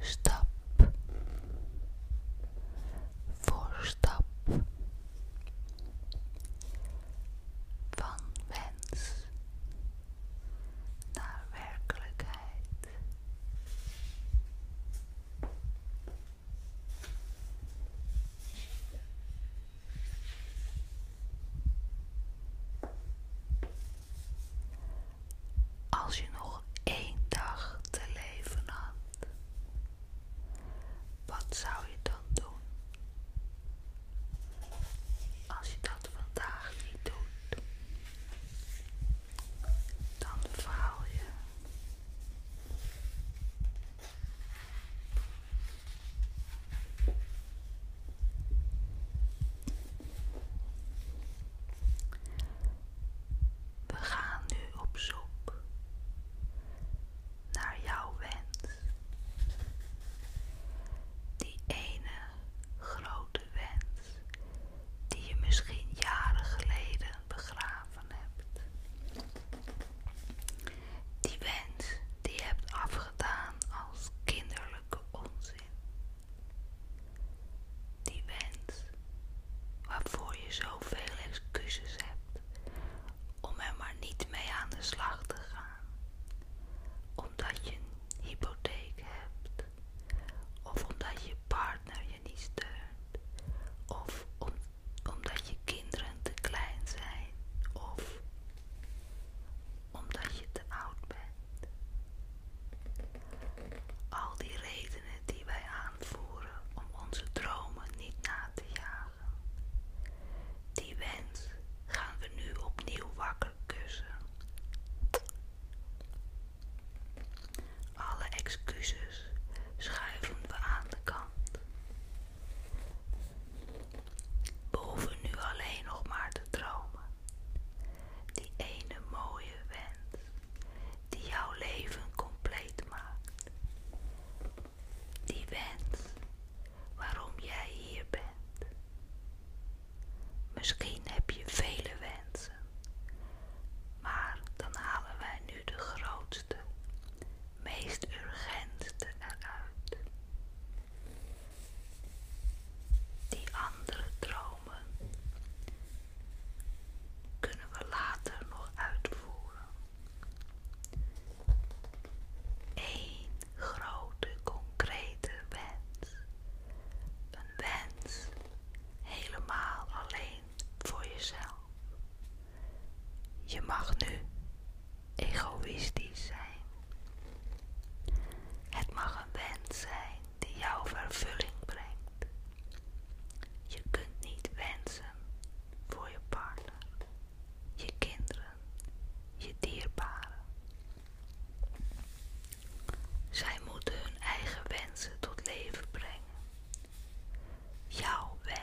Stap voor stap van wens naar werkelijkheid. Als je nog één dag te leven had, wat zou je dan doen? Als je dat vandaag niet doet, dan verhaal je. We gaan nu op zoek naar jouw wens. Die ene grote wens die je misschien jaren geleden begraven hebt. Die wens die je hebt afgedaan als kinderlijke onzin. Die wens waarvoor je zoveel excuses hebt om er maar niet mee aan de slag te gaan. Omdat je een hypotheek hebt. Of omdat je partner je niet steunt. Of omdat je kinderen te klein zijn. Of omdat je te oud bent. Al die redenen die wij aanvoeren om onze dromen niet na te jagen. Die wens gaan we nu opnieuw wakker kussen. Alle excuses schuiven we aan de kant. We nu alleen nog maar te dromen. Die ene mooie wens die jouw leven compleet maakt. Die wens waarom jij hier bent. Misschien heb je vele wensen. Maar dan halen wij nu de grootste, meest urgente eruit. Die andere dromen kunnen we later nog uitvoeren. Eén grote concrete wens. Een wens helemaal alleen voor jezelf. Je mag nu egoïstisch zijn. Het mag een wens zijn die jou vervulling brengt. Je kunt niet wensen voor je partner, je kinderen, je dierbaren. Zij moeten hun eigen wensen tot leven brengen. Jouw wens.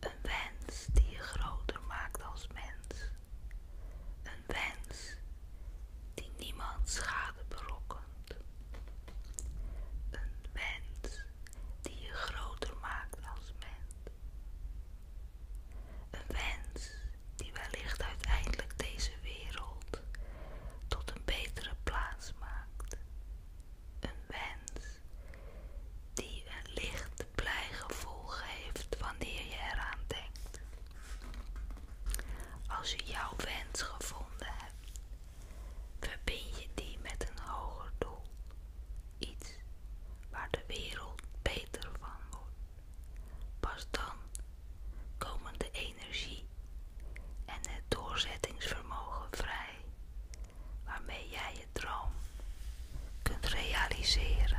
Een wens die je groter maakt als mens. Een wens die niemand schade berokkent. Een wens die je groter maakt als mens. Een wens die wellicht uiteindelijk deze wereld tot een betere plaats maakt. Een wens die een licht blij geeft wanneer je eraan denkt. Als je jouw wens gevonden hebt, verbind je die met een hoger doel. Iets waar de wereld beter van wordt. Pas dan komen de energie en het doorzettingsvermogen vrij waarmee jij je droom kunt realiseren.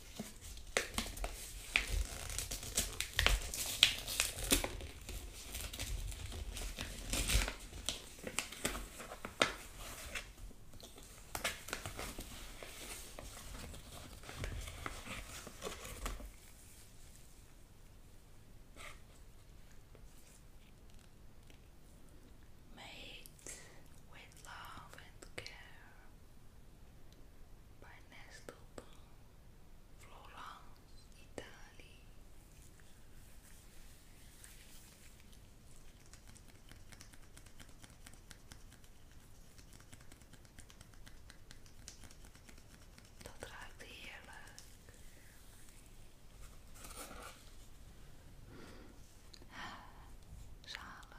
Made with love and care by Nestle Florence, Italië. Dat ruikt heerlijk. Zalig.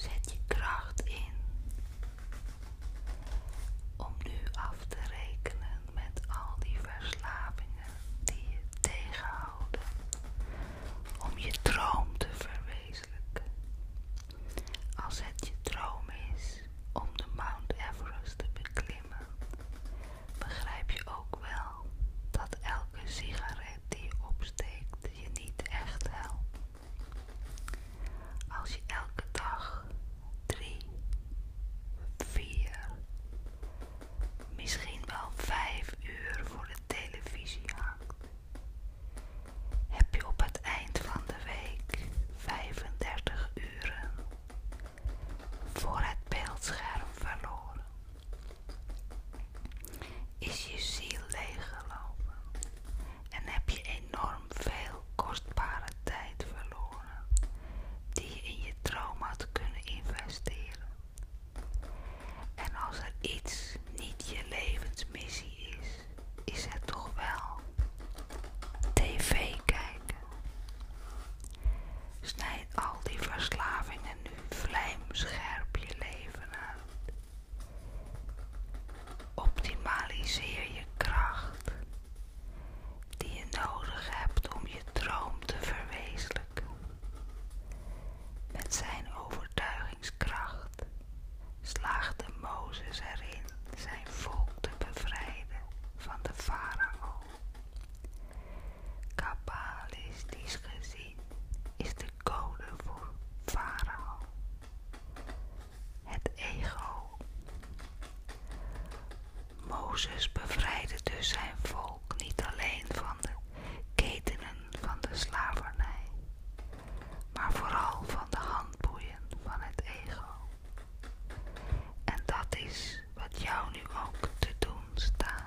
Zet je kracht in om nu af te rekenen met al die verslavingen die je tegenhouden. Om je droom te verwezenlijken. Als het je droom is om de Mount Everest te beklimmen, begrijp je ook wel dat elke sigaret die je opsteekt je niet echt helpt. Als je elke dag drie, vier, misschien wel vijf uur voor de televisie hangt, heb je op het eind van de week 35 uren voor het beeldscherm verloren. Is je ziel leeggelopen en heb je enorm veel kostbare tijd verloren die je in je droom had kunnen investeren. En als er iets niet je levensmissie is, is het toch wel tv kijken. Snijd al die verslavingen nu vlijmscherp je leven uit. Optimaliseer je kracht die je nodig hebt om je droom te verwezenlijken. Met zijn overtuigingskracht slaagde Mozes erin zijn volk te bevrijden van de farao. Kabbalistisch gezien is de code voor farao het ego. Mozes bevrijdde dus zijn volk niet alleen van de ketenen van de slavernij, maar vooral van de handboeien van het ego. En dat is wat jou nu ook te doen staat.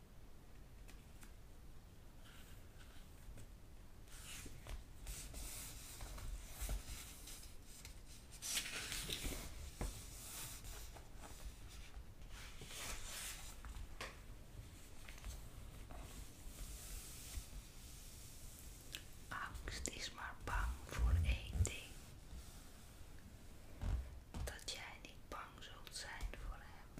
Angst is maar bang voor één ding: dat jij niet bang zou zult zijn voor hem.